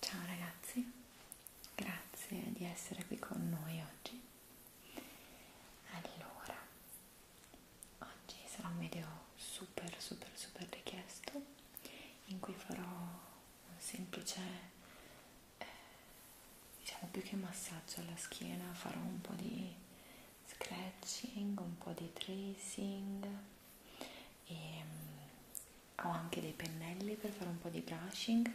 Ciao ragazzi, grazie di essere qui con noi oggi. Allora, oggi sarà un video super super super richiesto in cui farò un semplice, eh, diciamo più che massaggio alla schiena, farò un po' di scratching, un po' di tracing e ehm, mh, ho anche dei pennelli per fare un po' di brushing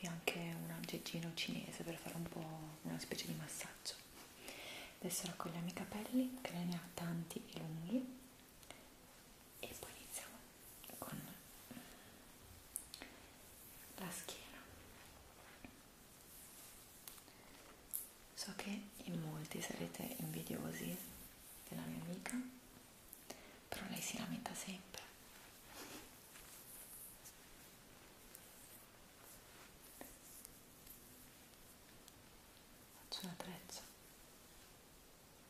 e anche un aggeggino cinese per fare un po' una specie di massaggio. Adesso raccogliamo i capelli, che ne ha tanti e lunghi e poi iniziamo con la schiena so che in molti sarete invidiosi della mia amica però lei si lamenta sempre faccio la treccia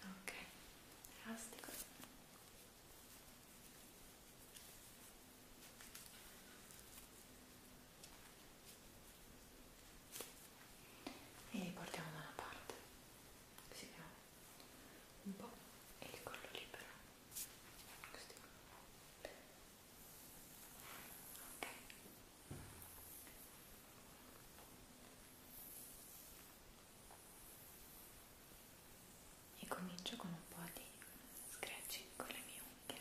ok elastico e portiamo da una parte così abbiamo un po' e il collo libero così ok e comincio con un po' di scratching con le mie unghie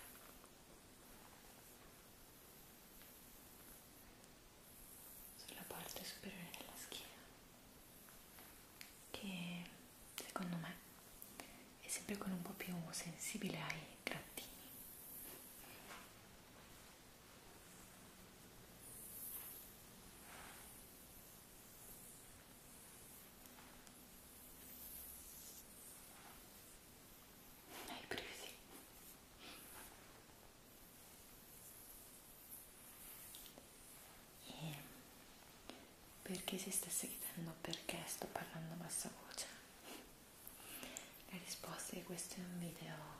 sulla parte superiore della schiena che secondo me è sempre con un po' più sensibile ai grattini hai presi? E perché si stesse chiedendo perché sto parlando a bassa voce? La risposta è che questo è un video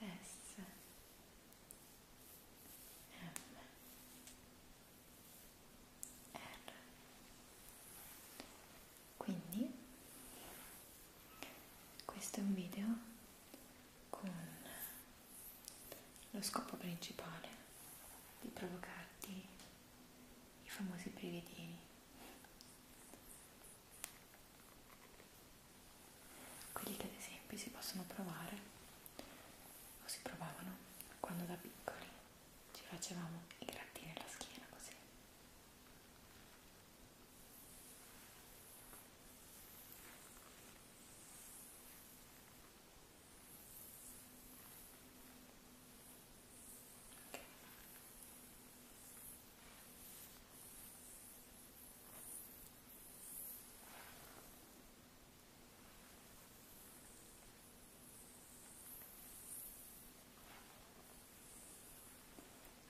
S M R quindi questo è un video con lo scopo principale di provocarti i famosi brividini quelli che ad esempio si possono provare o si provavano quando da piccoli ci facevamo i grattini alla schiena così.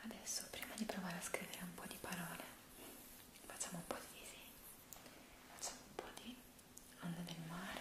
Adesso prima di provare a scrivere un po' di parole, facciamo un po' di disegni, facciamo un po' di onda del mare.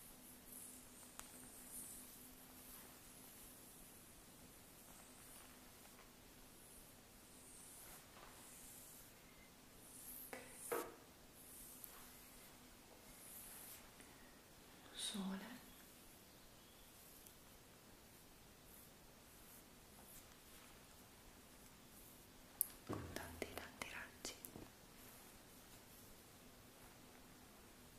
Sole. Tanti tanti raggi e una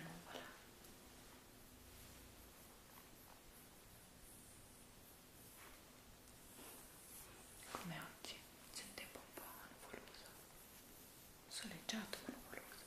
nuvola come oggi c'è un tempo un po' nuvoloso soleggiato ma nuvoloso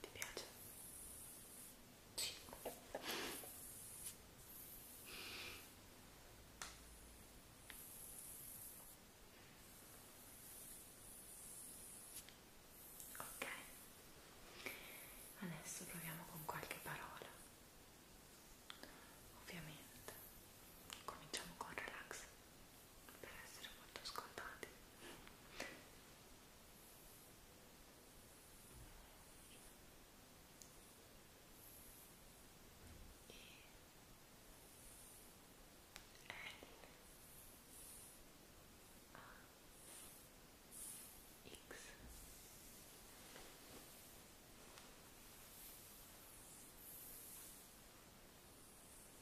Ti piace? Sì. Ok, adesso proviamo con qualche parola. Ovviamente cominciamo con relax per essere molto scontati e L A X e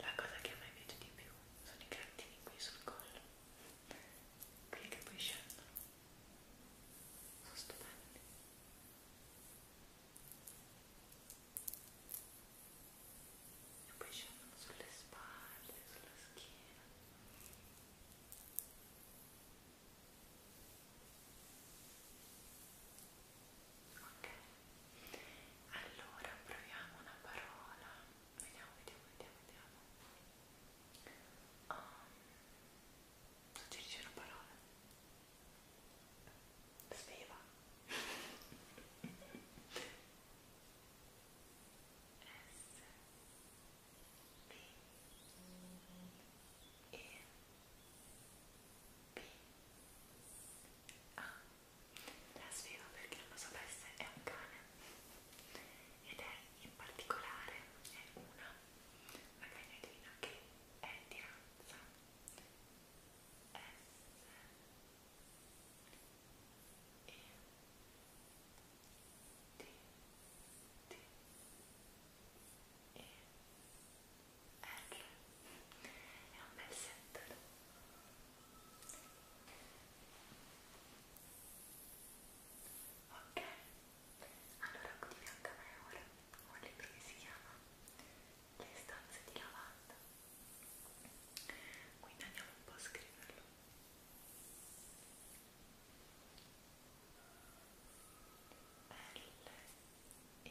La cosa che a me piace di più sono i grattini qui sul collo, quelli che poi scendono, sono stupendi. E poi scendono sulle spalle, sulla schiena ok allora proviamo una parola vediamo vediamo vediamo vediamo um, ehm, suggerisci una parola sveva S B E B ah, A la sfida perché non lo sapesse è un cane ed è in particolare è una la cagnolina che è di razza S E D D e R è un bel set ok allora qui di fianco a me ora ho un libro che si chiama Le stanze di lavanda quindi andiamo un po' a scriverlo L E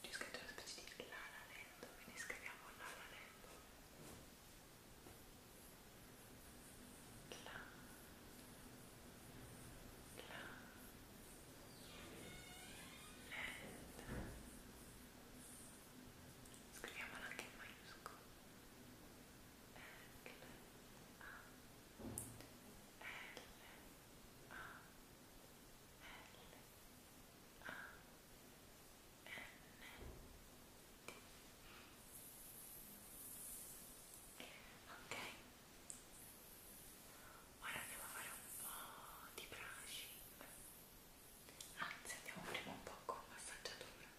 C'è scritto una specie di Lala Land, quindi scriviamo Lala Land. La. La. Land. Scriviamola anche in maiuscolo. La Ok, ora andiamo a fare un po' di brushing, anzi andiamo prima un po' con massaggiatura. Ok,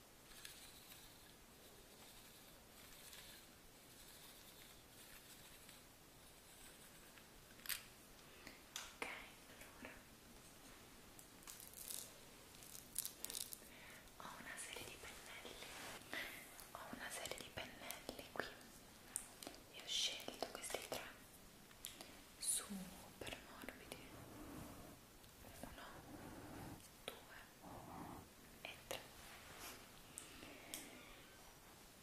Ok, allora ho una serie di pennelli, ho una serie di pennelli qui e ho scelto questi tre super morbidi uno, due e 3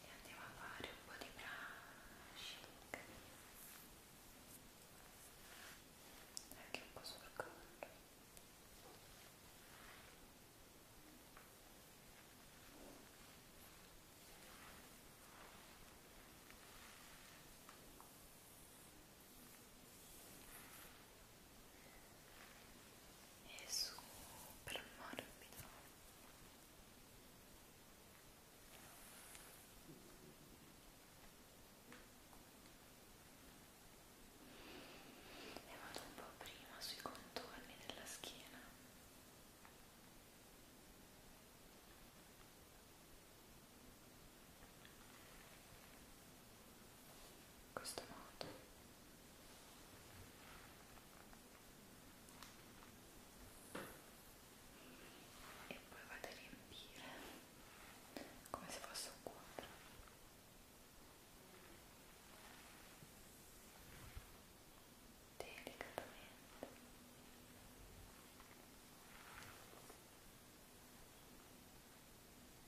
e andiamo a fare un po' di brushing anche un po' sul collo Ecco è super morbido e vado un po' prima sui contorni della schiena e in questo modo e poi vado a riempire come se fosse un quadro delicatamente e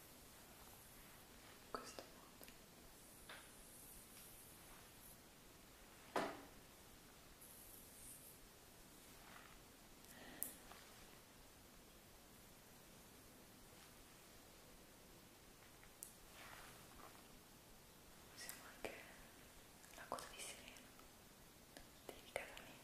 in questo modo usiamo anche la coda di sirena delicatamente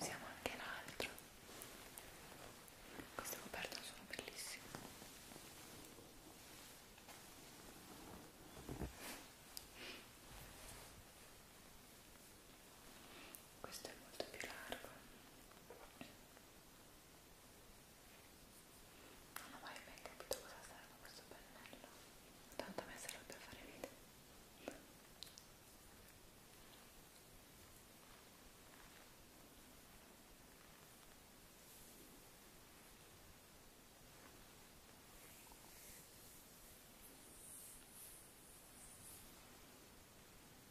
Usiamo anche l'altro. Queste coperte sono bellissime. Questo è molto più largo. Non ho mai ben capito cosa serve questo pennello. Tanto a me serve per fare video. Ecco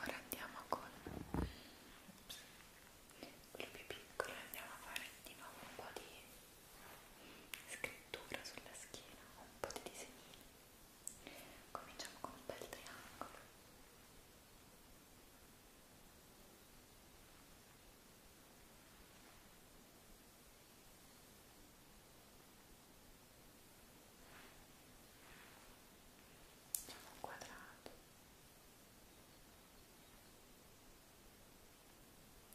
Ora andiamo con Ops. quello più piccolo e andiamo a fare di nuovo un po' di scrittura sulla schiena, un po' di disegnini. Cominciamo con un bel triangolo. Facciamo un quadrato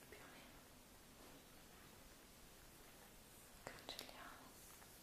più o meno cancelliamo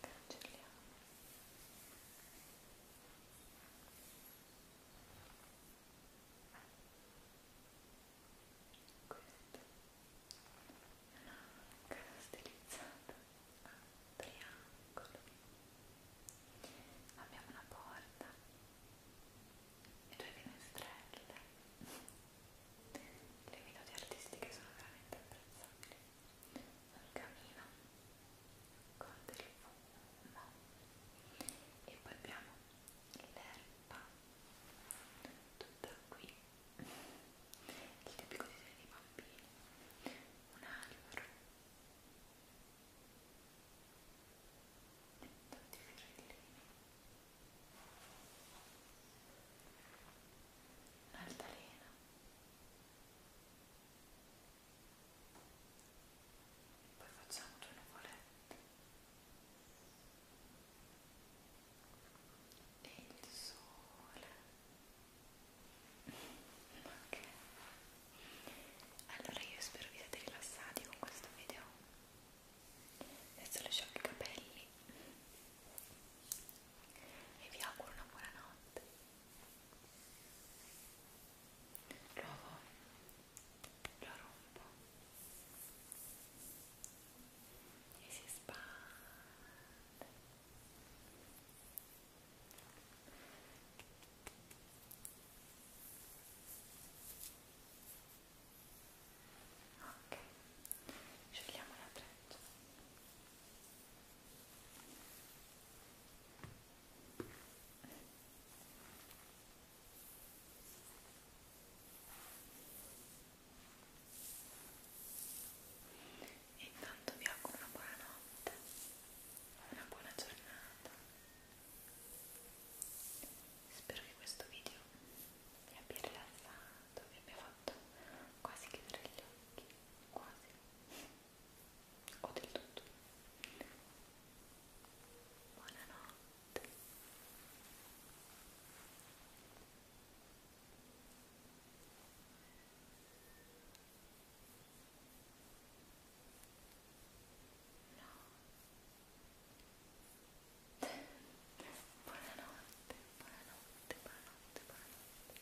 cancelliamo questa è una cara stilizzata a triangolo abbiamo una porta e due finestrelle le minuti artistiche sono veramente apprezzabili un camino con del fumo e poi abbiamo l'erba tutta qui il tipico disegno dei bambini un albero tutti i fiorellini un'altalena poi facciamo due nuvolette e il sole ok allora io spero vi siate rilassati con questo video adesso lasciamo i capelli e vi auguro una buona notte Provo, lo rompo e si spande. Ok, scegliamo la treccia. Ecco. E intanto vi auguro una buona notte, una buona giornata. Spero che questo video vi abbia rilassato, vi abbia fatto quasi chiudere gli occhi, quasi o del tutto. Buonanotte. No. Buonanotte, buonanotte, buonanotte, buonanotte.